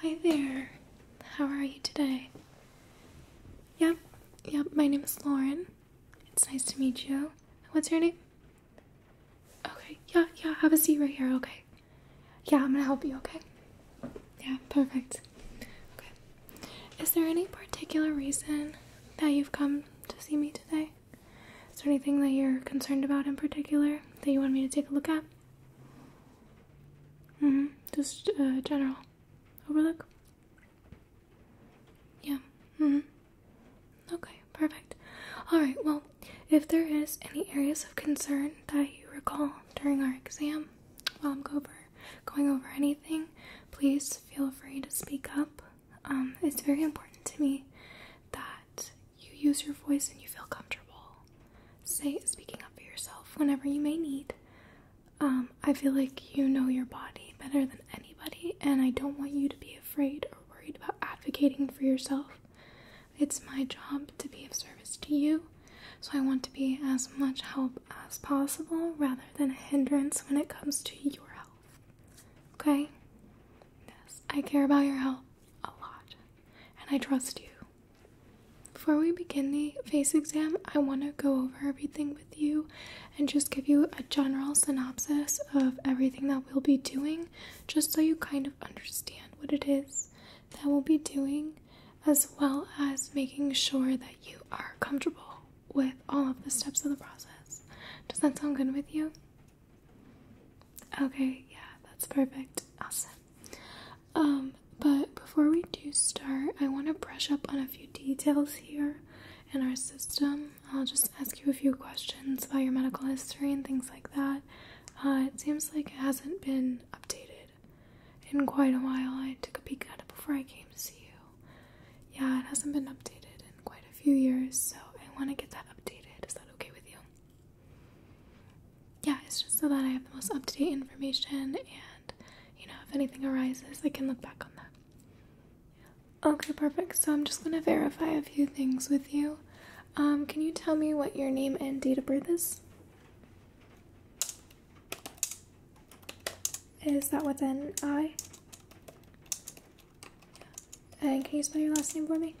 Hi there. How are you today? Yep, yep, my name is Lauren. It's nice to meet you. What's your name? Okay, yeah, yeah, have a seat right here, okay. Yeah, I'm gonna help you, okay? Yeah, perfect. Okay. Is there any particular reason that you've come to see me today? Is there anything that you're concerned about in particular that you want me to take a look at? hmm Just uh, general overlook. Yeah. hmm Okay. Perfect. All right. Well, if there is any areas of concern that you recall during our exam, while I'm go over, going over anything, please feel free to speak up. Um, it's very important to me that you use your voice and you feel comfortable. Say speaking up for yourself whenever you may need. Um, I feel like you know your body better than anybody, and I don't want you to be afraid or worried about advocating for yourself. It's my job to be of service to you, so I want to be as much help as possible rather than a hindrance when it comes to your health. Okay? Yes, I care about your health a lot, and I trust you. Before we begin the face exam, I want to go over everything with you and just give you a general synopsis of everything that we'll be doing, just so you kind of understand what it is that we'll be doing, as well as making sure that you are comfortable with all of the steps of the process. Does that sound good with you? Okay, yeah, that's perfect. Awesome. Um, but before we do start, I want to brush up on a few details here in our system. I'll just ask you a few questions about your medical history and things like that. Uh, it seems like it hasn't been updated in quite a while. I took a peek at it before I came to see you. Yeah, it hasn't been updated in quite a few years, so I want to get that updated. Is that okay with you? yeah, it's just so that I have the most up to date information, and you know, if anything arises, I can look back on that. Okay, perfect. So I'm just gonna verify a few things with you. Um, can you tell me what your name and date of birth is? Is that with an I? And can you spell your last name for me?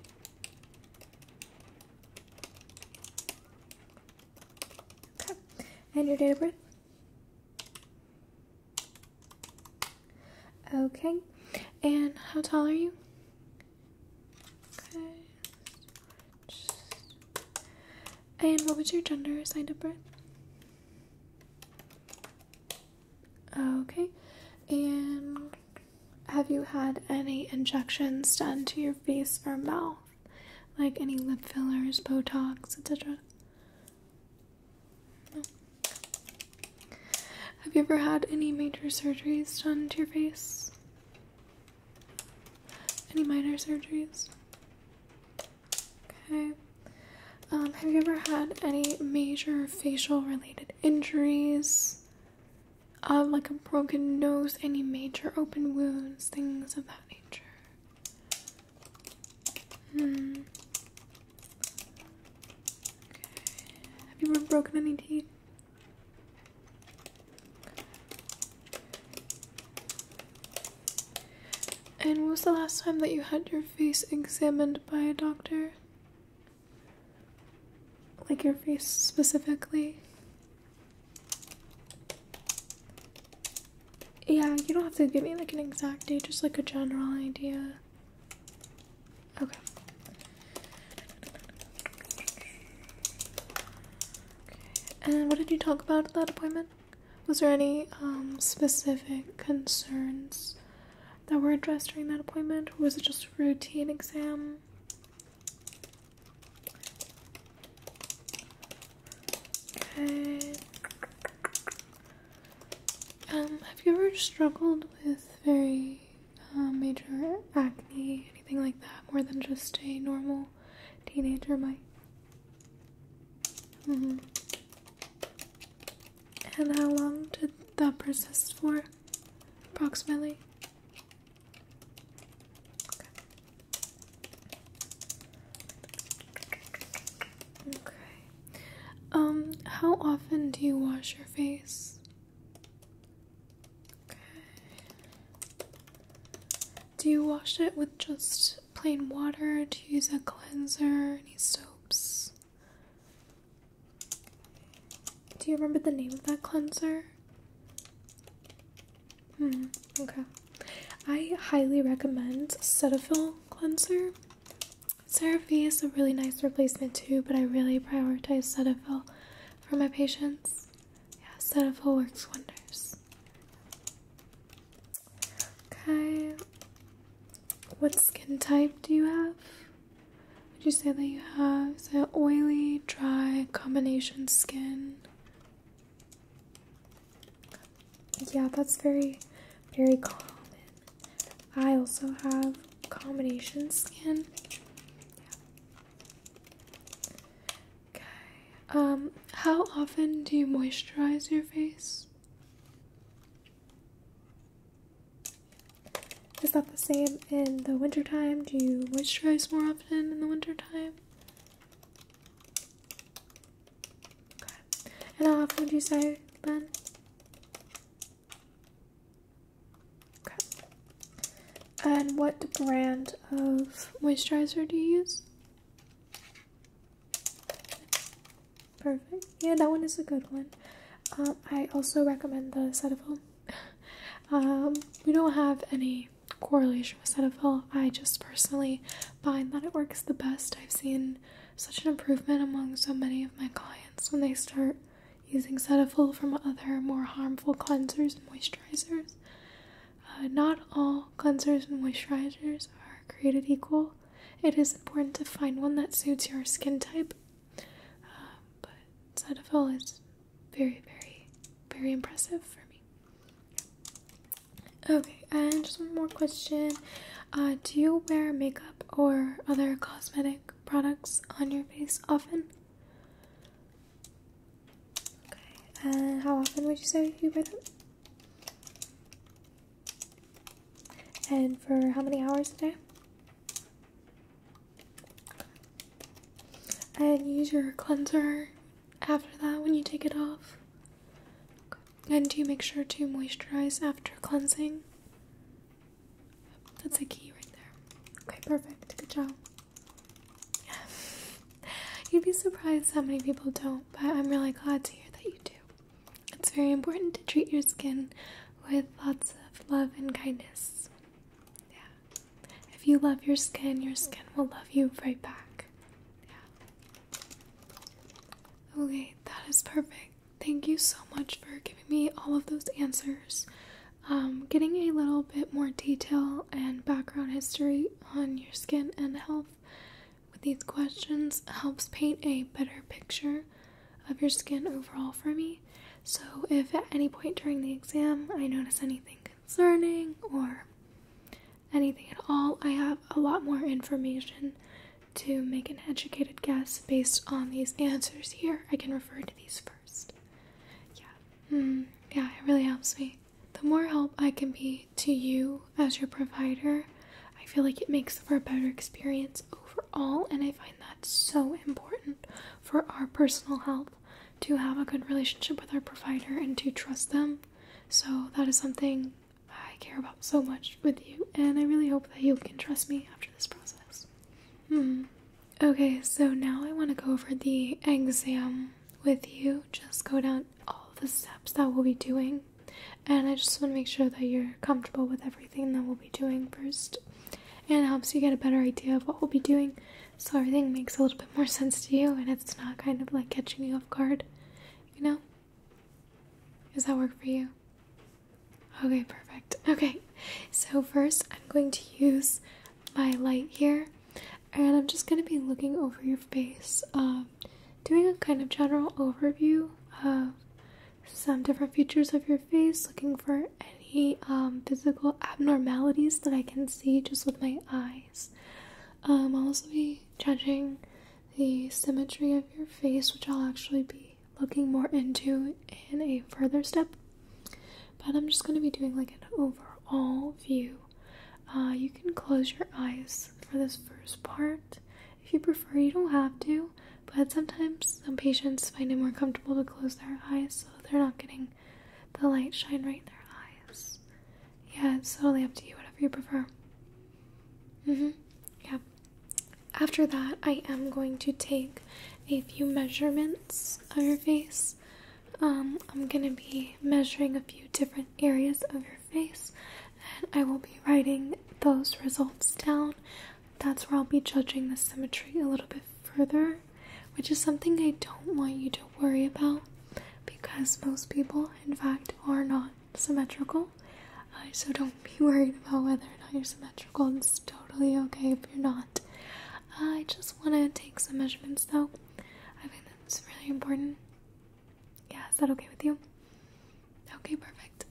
And your date of birth? Okay. And how tall are you? Okay. And what was your gender assigned at birth? Okay. And have you had any injections done to your face or mouth? Like any lip fillers, Botox, etc.? Have you ever had any major surgeries done to your face? Any minor surgeries? Okay. Um, have you ever had any major facial related injuries? uh, like a broken nose, any major open wounds, things of that nature. Hmm. Have you ever broken any teeth? And when was the last time that you had your face examined by a doctor? Like your face specifically? Yeah, you don't have to give me like an exact date, just like a general idea. Okay. okay. And what did you talk about at that appointment? Was there any um, specific concerns that were addressed during that appointment? Or was it just a routine exam? Um, have you ever struggled with very uh, major acne, anything like that, more than just a normal teenager might? Mm-hmm. And how long did that persist for, approximately? Okay. Um, how often do you wash your face? Do you wash it with just plain water? Do you use a cleanser? Any soaps? Do you remember the name of that cleanser? Hmm, okay. I highly recommend Cetaphil cleanser. CeraVe is a really nice replacement too, but I really prioritize Cetaphil for my patients. Yeah, Cetaphil works wonders. Okay. What skin type do you have? Would you say that you have? oily, dry, combination skin? Yeah, that's very, very common. I also have combination skin. Okay. Um, how often do you moisturize your face? Is that the same in the wintertime? Do you moisturize more often in the wintertime? And how often would you say, Ben? Okay. And what brand of moisturizer do you use? Perfect. Yeah, that one is a good one. Um, I also recommend the Cetaphil. Um, we don't have any correlation with Cetaphil. I just personally find that it works the best. I've seen such an improvement among so many of my clients when they start using Cetaphil from other more harmful cleansers and moisturizers. Uh, not all cleansers and moisturizers are created equal. It is important to find one that suits your skin type, uh, but Cetaphil is very, very, very impressive for me. Okay, and just one more question. Uh, do you wear makeup or other cosmetic products on your face often? Okay, and how often would you say you wear them? And for how many hours a day? And use your cleanser after that when you take it off. And do you make sure to moisturize after cleansing. That's a key right there. Okay, perfect. Good job. Yeah. You'd be surprised how many people don't, but I'm really glad to hear that you do. It's very important to treat your skin with lots of love and kindness. Yeah. If you love your skin, your skin will love you right back. Okay, that is perfect. Thank you so much for giving me all of those answers. Um, getting a little bit more detail and background history on your skin and health with these questions helps paint a better picture of your skin overall for me. So, if at any point during the exam I notice anything Learning or anything at all. I have a lot more information to make an educated guess based on these answers here. I can refer to these first. Yeah, hmm. yeah, it really helps me. The more help I can be to you as your provider, I feel like it makes for a better experience overall, and I find that so important for our personal health to have a good relationship with our provider and to trust them. So, that is something I care about so much with you, and I really hope that you can trust me after this process. Hmm. Okay, so now I want to go over the exam with you. Just go down all the steps that we'll be doing, and I just want to make sure that you're comfortable with everything that we'll be doing first. And it helps you get a better idea of what we'll be doing so everything makes a little bit more sense to you and it's not kind of like catching you off guard, you know? Does that work for you? Okay, perfect. Okay, so first I'm going to use my light here and I'm just going to be looking over your face, um, doing a kind of general overview of some different features of your face, looking for any um, physical abnormalities that I can see just with my eyes. Um, I'll also be judging the symmetry of your face, which I'll actually be looking more into in a further step. But I'm just going to be doing like an overall view. Uh, you can close your eyes for this first part if you prefer. You don't have to, but sometimes some patients find it more comfortable to close their eyes so they're not getting the light shine right in their eyes. Yeah, it's totally up to you, whatever you prefer. hmm Yeah. After that, I am going to take a few measurements of your face. Um, I'm gonna be measuring a few different areas of your face, and I will be writing those results down. That's where I'll be judging the symmetry a little bit further which is something I don't want you to worry about because most people, in fact, are not symmetrical. Uh, so don't be worried about whether or not you're symmetrical. It's totally okay if you're not. Uh, I just want to take some measurements though. I think that's really important. Yeah, is that okay with you? Okay, perfect.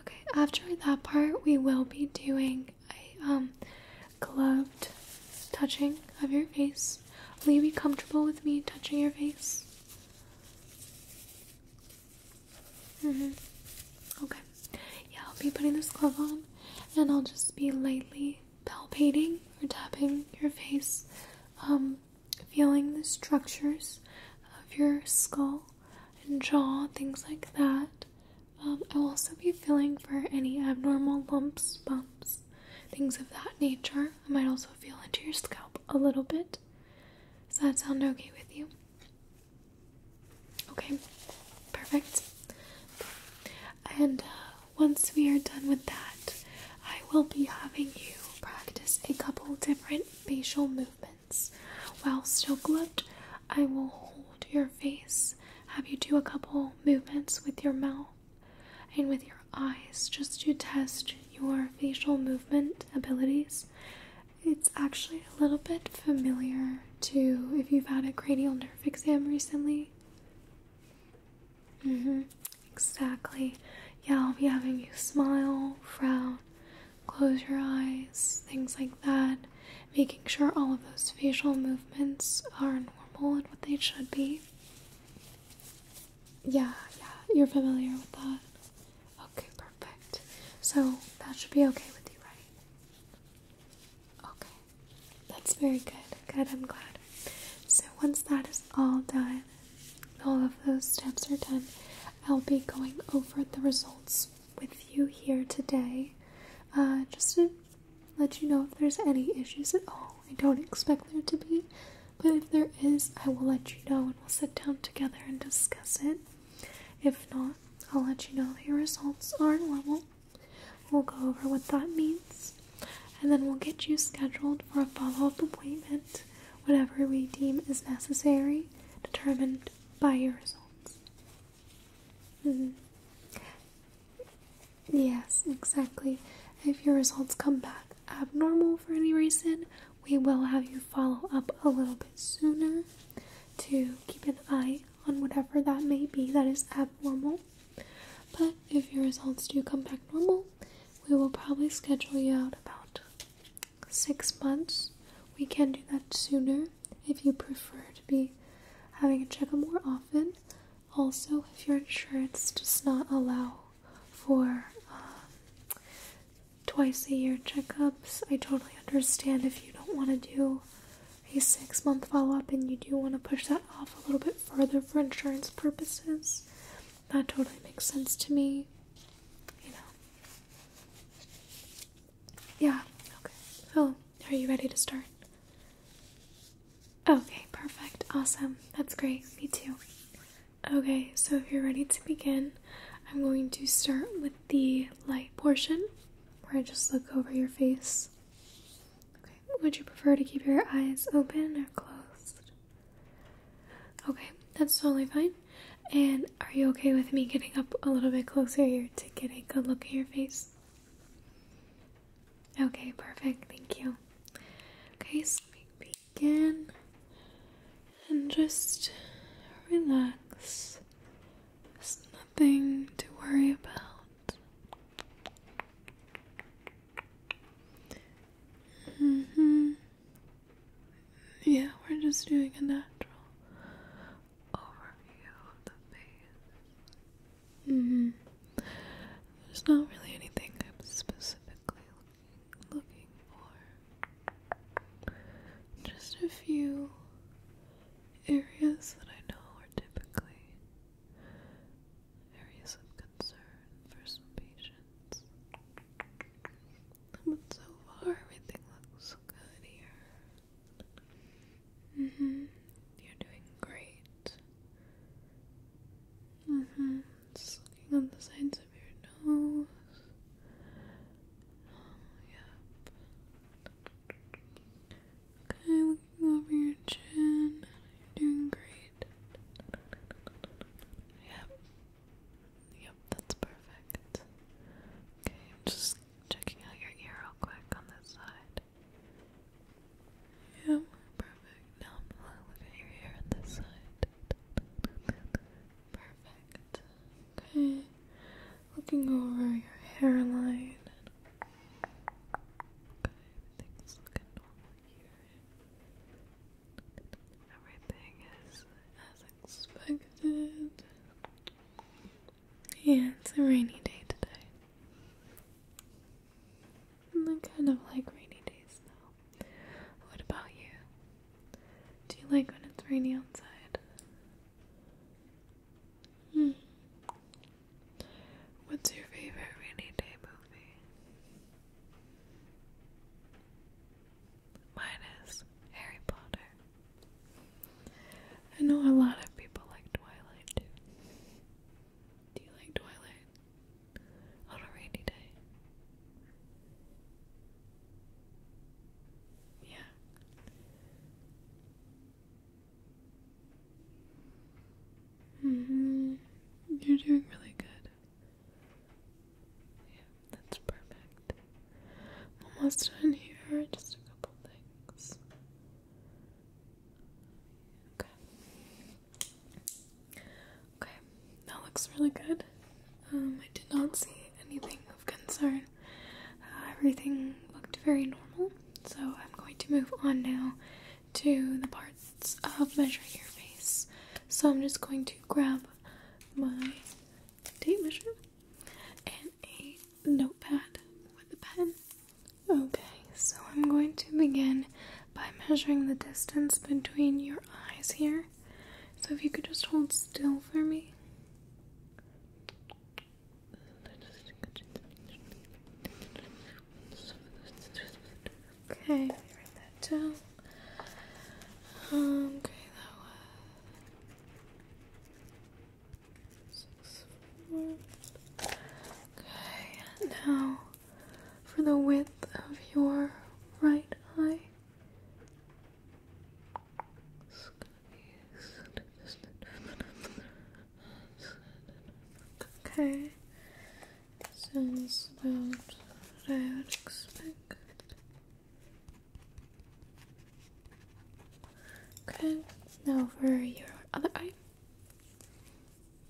Okay, after that part, we will be doing um, gloved touching of your face. Will you be comfortable with me touching your face? Mm-hmm. Okay. Yeah, I'll be putting this glove on and I'll just be lightly palpating or tapping your face, um, feeling the structures of your skull and jaw, things like that. Um, I'll also be feeling for any abnormal lumps, bumps, things of that nature. I might also feel into your scalp a little bit. Does that sound okay with you? Okay, perfect. And uh, once we are done with that, I will be having you practice a couple different facial movements. While still gloved, I will hold your face, have you do a couple movements with your mouth and with your eyes just to test your facial movement abilities. It's actually a little bit familiar to if you've had a cranial nerve exam recently. Mm hmm. Exactly. Yeah, I'll be having you smile, frown, close your eyes, things like that. Making sure all of those facial movements are normal and what they should be. Yeah, yeah, you're familiar with that. Okay, perfect. So that should be okay with you, right? Okay, that's very good. Good, I'm glad. So once that is all done, all of those steps are done, I'll be going over the results with you here today. Uh, just to let you know if there's any issues at all. I don't expect there to be, but if there is, I will let you know and we'll sit down together and discuss it. If not, I'll let you know that your results are level. We'll go over what that means, and then we'll get you scheduled for a follow up appointment, whatever we deem is necessary, determined by your results. Mm-hmm. Yes, exactly. If your results come back abnormal for any reason, we will have you follow up a little bit sooner to keep an eye on whatever that may be that is abnormal. But if your results do come back normal, we will probably schedule you out about six months. We can do that sooner if you prefer to be having a checkup more often. Also, if your insurance does not allow for um, twice a year checkups, I totally understand if you don't want to do a six month follow up and you do want to push that off a little bit further for insurance purposes. That totally makes sense to me. You know. Yeah, okay. So, are you ready to start? Okay, perfect. Awesome. That's great. Me too. Okay, so if you're ready to begin, I'm going to start with the light portion where I just look over your face. Okay, would you prefer to keep your eyes open or closed? Okay, that's totally fine. And are you okay with me getting up a little bit closer here to get a good look at your face? Okay, perfect. Thank you. Okay, let we begin and just relax. There's nothing to worry about. hmm Yeah, we're just doing a natural overview of the face. Mm-hmm. There's not really anything I'm specifically looking, for. Just a few areas that I know are typically areas of concern for some patients. But so far, everything looks good here. Mm-hmm. You're doing great. Mm hmm. looking on the sides of your nose. Um, yeah. Okay, looking over your chin. You're doing great. Yep. Yep, that's perfect. Okay, just checking out your ear real quick on this side. Yeah, perfect. Now I'm looking at your hair on this side. Perfect. Okay. Looking over your hairline. Okay, everything's looking normal Everything is as expected. Yeah, it's a rainy day today. I kind of like rainy days now. What about you? Do you like when it's rainy outside? Hmm. What's your favorite rainy day movie? Mine Harry Potter. I know a lot of people like Twilight too. Do you like twilight on a rainy day? Yeah. hmm. You're doing really good. Yeah, that's perfect. Almost done here. Just a couple things. Okay. Okay, that looks really good. Um, I did not see anything of concern. Uh, everything looked very normal, so I'm going to move on now to the parts of measuring your face. So I'm just going to grab my tape measure and a notepad with a pen Okay, so I'm going to begin by measuring the distance between your eyes here. So if you could just hold still for me. Okay, Um, Okay, now for the width of your right eye. okay. Sounds about what I would expect. Okay, now for your other eye.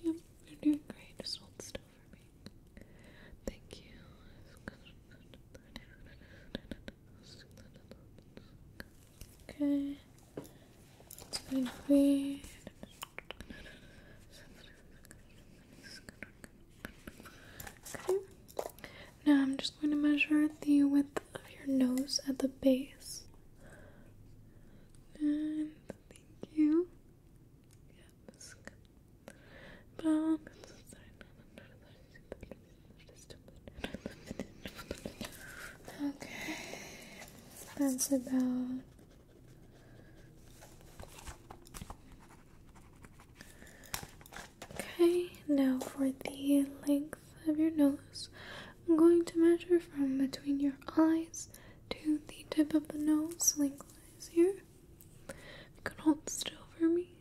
Yep, you're doing great. Just hold still for me. Thank you. Okay. It's going to be. Okay. Now I'm just going to measure the width of your nose at the base. And thank you. Okay, that's about okay. Now for the length of your nose, I'm going to measure from between your eyes to the tip of the nose lengthwise here. You can hold still for me.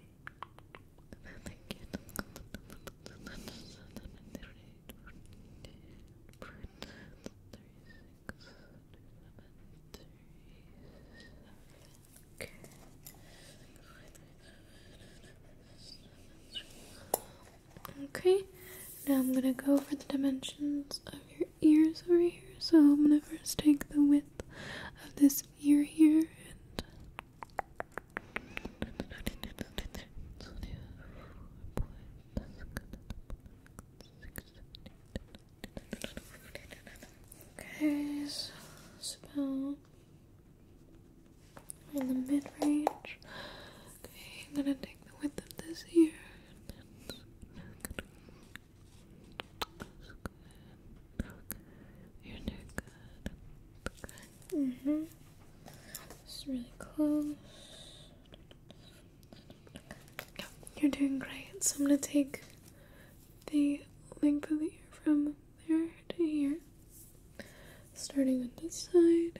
okay, now I'm gonna go for the dimensions of your ears over here. So I'm gonna first take the width of this ear here and Okay, so about in the mid range. I'm gonna take the width of this ear. That's good. Your good. Mm hmm It's really close. you're doing great. So I'm gonna take the length of the ear from there to here. Starting on this side.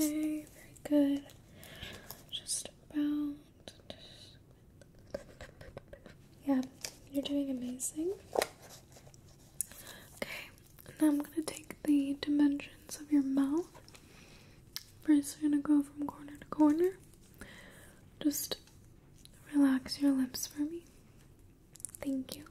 Okay, very good. Just about. Yeah, you're doing amazing. Okay, now I'm gonna take the dimensions of your mouth. First, we're gonna go from corner to corner. Just relax your lips for me. Thank you.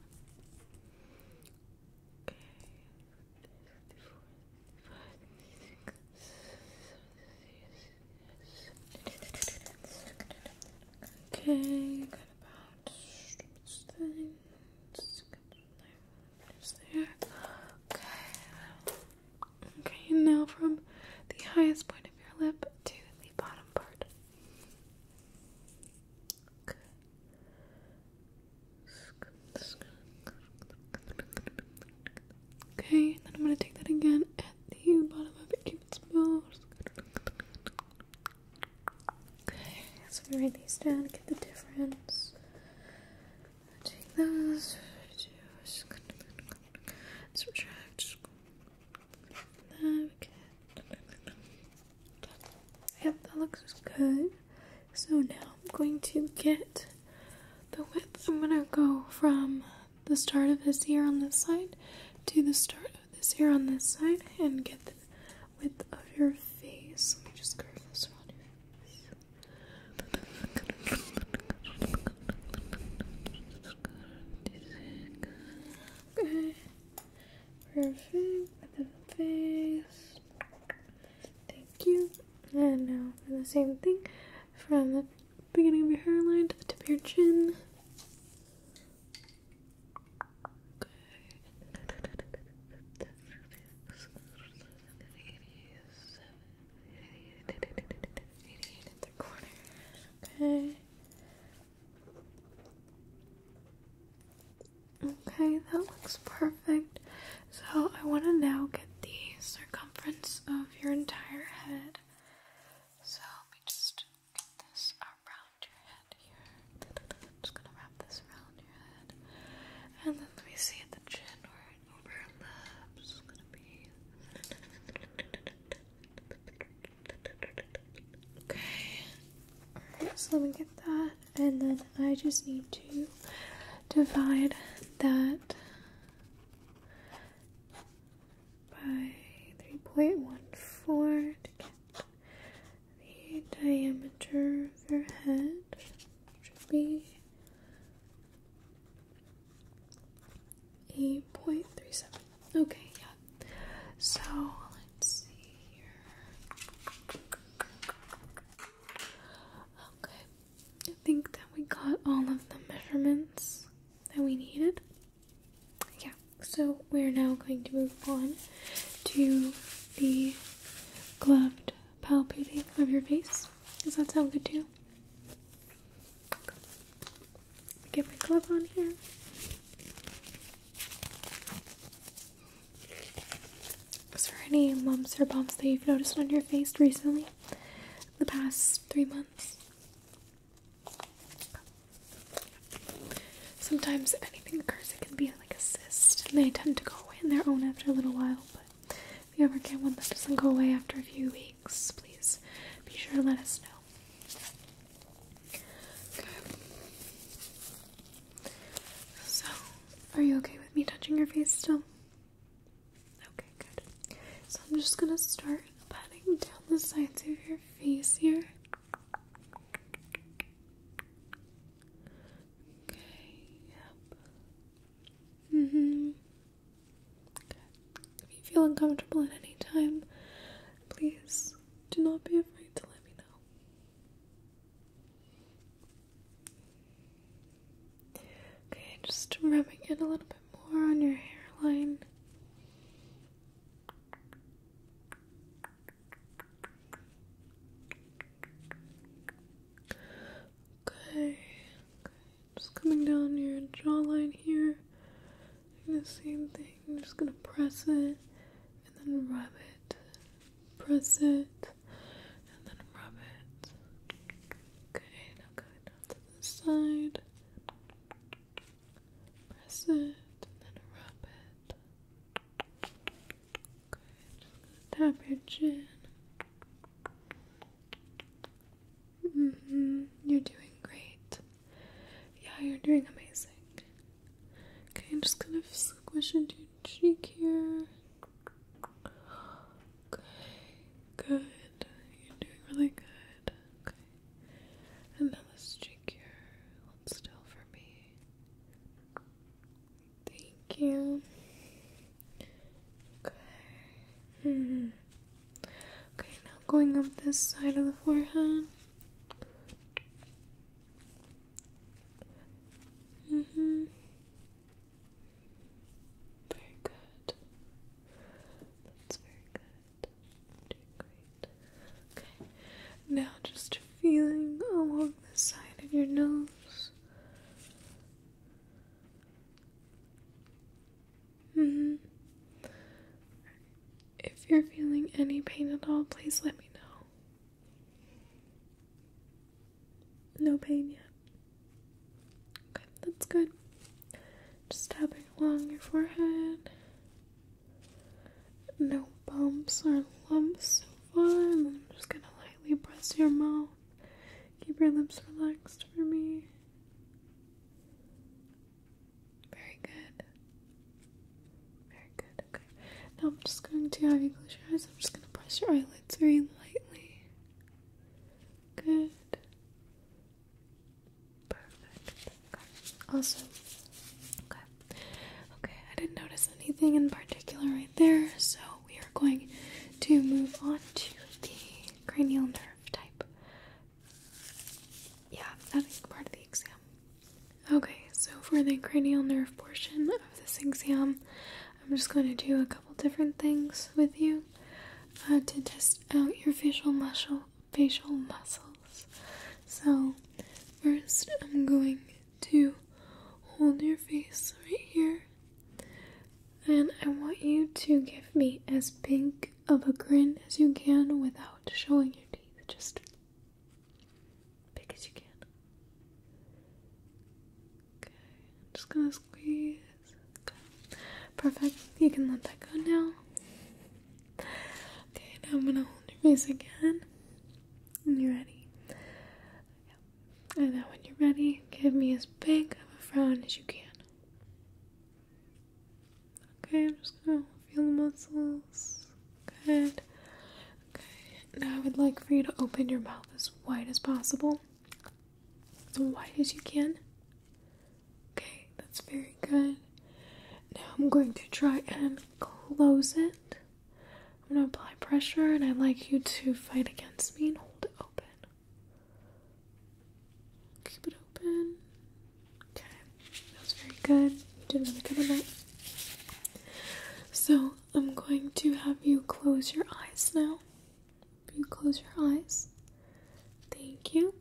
Okay. Okay, Okay, now from the highest point of your lip to the bottom part. Okay, then I'm gonna take that again at the bottom of it. cupid's bow. Okay, so we write these down, get the difference. Take those, subtract. Yep, that looks good. So now I'm going to get the width. I'm going to go from the start of this ear on this side to the start of this ear on this side and get the width of your face. Let me just curve this one. Perfect. With the face. Thank you. And now for the same thing from the beginning of your hairline to the tip of your chin. Okay. Okay, that looks perfect. So I want to now get the circumference of your entire head. So let me just get this around your head here. just gonna wrap this around your head. And then let me see at the chin where it overlaps. gonna be okay so let me get that. And then I just need to divide that by 3.14 to get the diameter of your head, which be 8.37. Okay, yeah, so let's see here. Okay, I think that we got all of the measurements that we needed. Yeah, so we're now going to move on to the gloved palpating of your face. Does that sound good to you? Get my glove on here. Is there any lumps or bumps that you've noticed on your face recently? The past three months? Sometimes anything occurs, it can be like a cyst, and they tend to go away on their own after a little while. But if you ever get one that doesn't go away after a few weeks, please be sure to let us know. So, are you okay with me touching your face still? Okay, good. So, I'm just gonna start patting down the sides of your face here. Okay, yep. hmm. Good. If you feel uncomfortable at any time, please do not be afraid to let me know. Okay, just rubbing it a little bit more on your hairline. Okay, just coming down your jawline here. Doing the same thing. I'm just gonna press it and then rub it press it and then rub it. Okay, now going down to the side. Press it and then rub it. Okay, tap your chin. Mm-hmm. You're doing great. Yeah, you're doing amazing. Okay, I'm just gonna squish into your cheek here. Okay, good. You're doing really good. Okay. And now this cheek here. Hold still for me. Thank you. Okay. Hmm. Okay, now going up this side of the forehead. Mm hmm. Very good. That's very good. Okay. Now just feeling along the side of your nose. Mm hmm. If you're feeling any pain at all, please let me know. No pain yet. Okay, that's good. Just tapping along your forehead. No bumps or lumps so far. I'm just gonna lightly brush your mouth. Keep your lips relaxed for me. Very good. Very good, Now I'm just going to have you close your eyes. I'm just going to press your eyelids very lightly. Good. Perfect. Okay. Awesome. Okay. Okay, I didn't notice anything in particular right there, so we are going to move on to the cranial nerve type. Yeah, that is part of the exam. Okay, so for the cranial nerve portion of this exam, I'm just going to do a couple different things with you uh, to test out your facial muscle facial muscles. So first I'm going to hold your face right here and I want you to give me as big of a grin as you can without showing your teeth. Just Big as you can. Okay, I'm just gonna squeeze. Perfect. You can let that go now. Okay, now I'm gonna hold your face again. And you're ready. And then when you're ready, give me as big of a frown as you can. Okay, I'm just gonna feel the muscles. Good. Okay. Now I would like for you to open your mouth as wide as possible. As wide as you can. Okay, that's very good. Now I'm going to try and close it. I'm going to apply pressure and I'd like you to fight against me and hold it open. Keep it open. Okay, that's very good did really good on So I'm going to have you close your eyes now. You close your eyes. Thank you.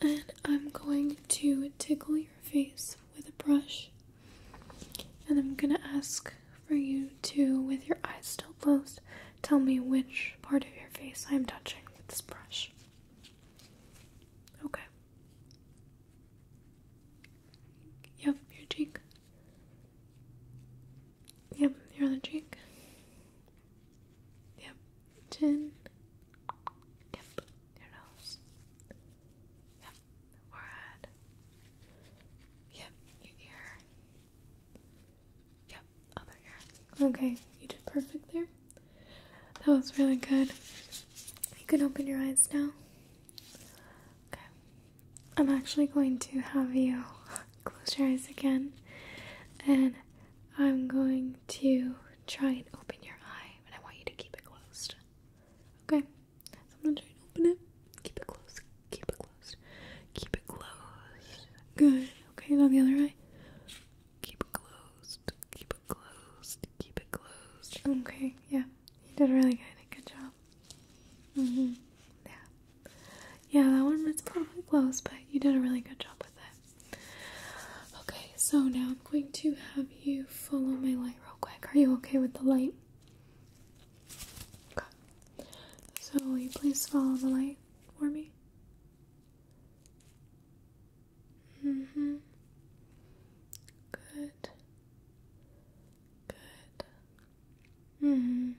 And I'm going to tickle your face with a brush. And I'm gonna ask for you to, with your eyes still closed, tell me which part of your face I'm touching with this brush. Okay. Yep, your cheek. Yep, your other cheek. Yep, chin. Yep, your nose. Yep, forehead. Yep, your ear. Yep, other ear. Okay, you did perfect there. That was really good. You can open your eyes now. Okay. I'm actually going to have you close your eyes again and I'm going to try and open your eye But I want you to keep it closed. Okay? So I'm gonna try and open it. Keep it closed. Keep it closed. Keep it closed. Good. Okay, now the other eye. Keep it closed. Keep it closed. Keep it closed. Okay, yeah. You did really good. Good job. Mm-hmm. Yeah. Yeah, that one was probably close, but you did a really good job with it. Okay, so now I'm going to have you follow my light real quick. Are you okay with the light? Okay. So will you please follow the light for me? hmm Good. Good. Mm hmm.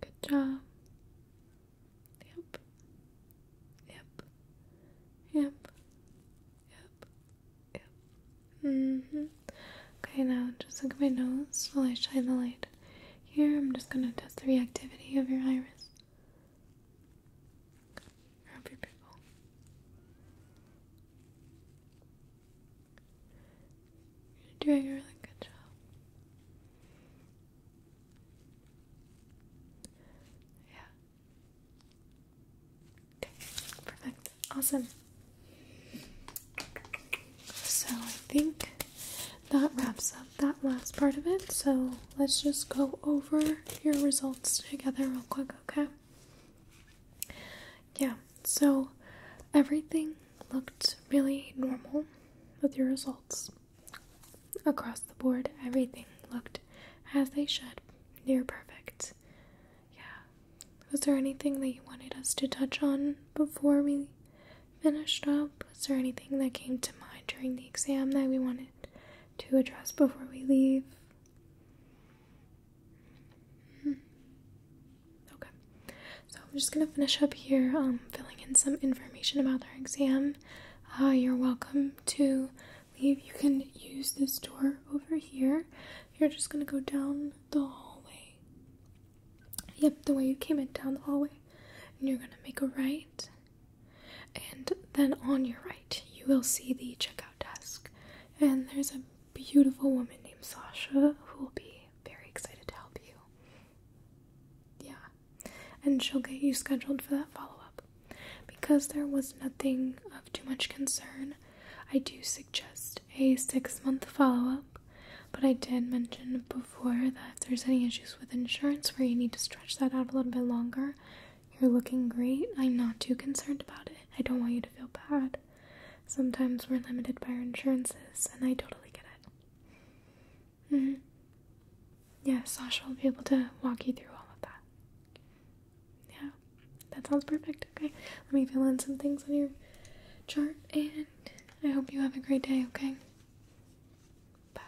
Good job. Yep. Yep. Yep. Yep. Yep. Mm hmm. Okay, now just look at my nose while I shine the light. Here, I'm just gonna test the reactivity of your iris. Happy pickle. You're doing a really good job. Yeah. Okay, Awesome. So I think that wraps up that last part of it. So let's just go over your results together real quick, okay? yeah, so everything looked really normal with your results. Across the board, everything looked as they should, near perfect. Yeah. Was there anything that you wanted us to touch on before we finished up? Was there anything that came to mind during the exam that we wanted to address before we leave? Hmm. Okay, so I'm just gonna finish up here, um, filling in some information about our exam. Uh, you're welcome to leave. You can use this door over here. You're just gonna go down the hallway. Yep, the way you came in, down the hallway. And you're gonna make a right. And then on your right, you will see the checkout desk. And there's a beautiful woman named Sasha who will be very excited to help you. Yeah. And she'll get you scheduled for that follow up. Because there was nothing of too much concern, I do suggest a six month follow up. But I did mention before that if there's any issues with insurance where you need to stretch that out a little bit longer, you're looking great. I'm not too concerned about it. I don't want you to feel bad. Sometimes we're limited by our insurances, and I totally get it. Mm-hmm. Yeah, Sasha will be able to walk you through all of that. Yeah, that sounds perfect. Okay, let me fill in some things on your chart, and I hope you have a great day, okay? Bye.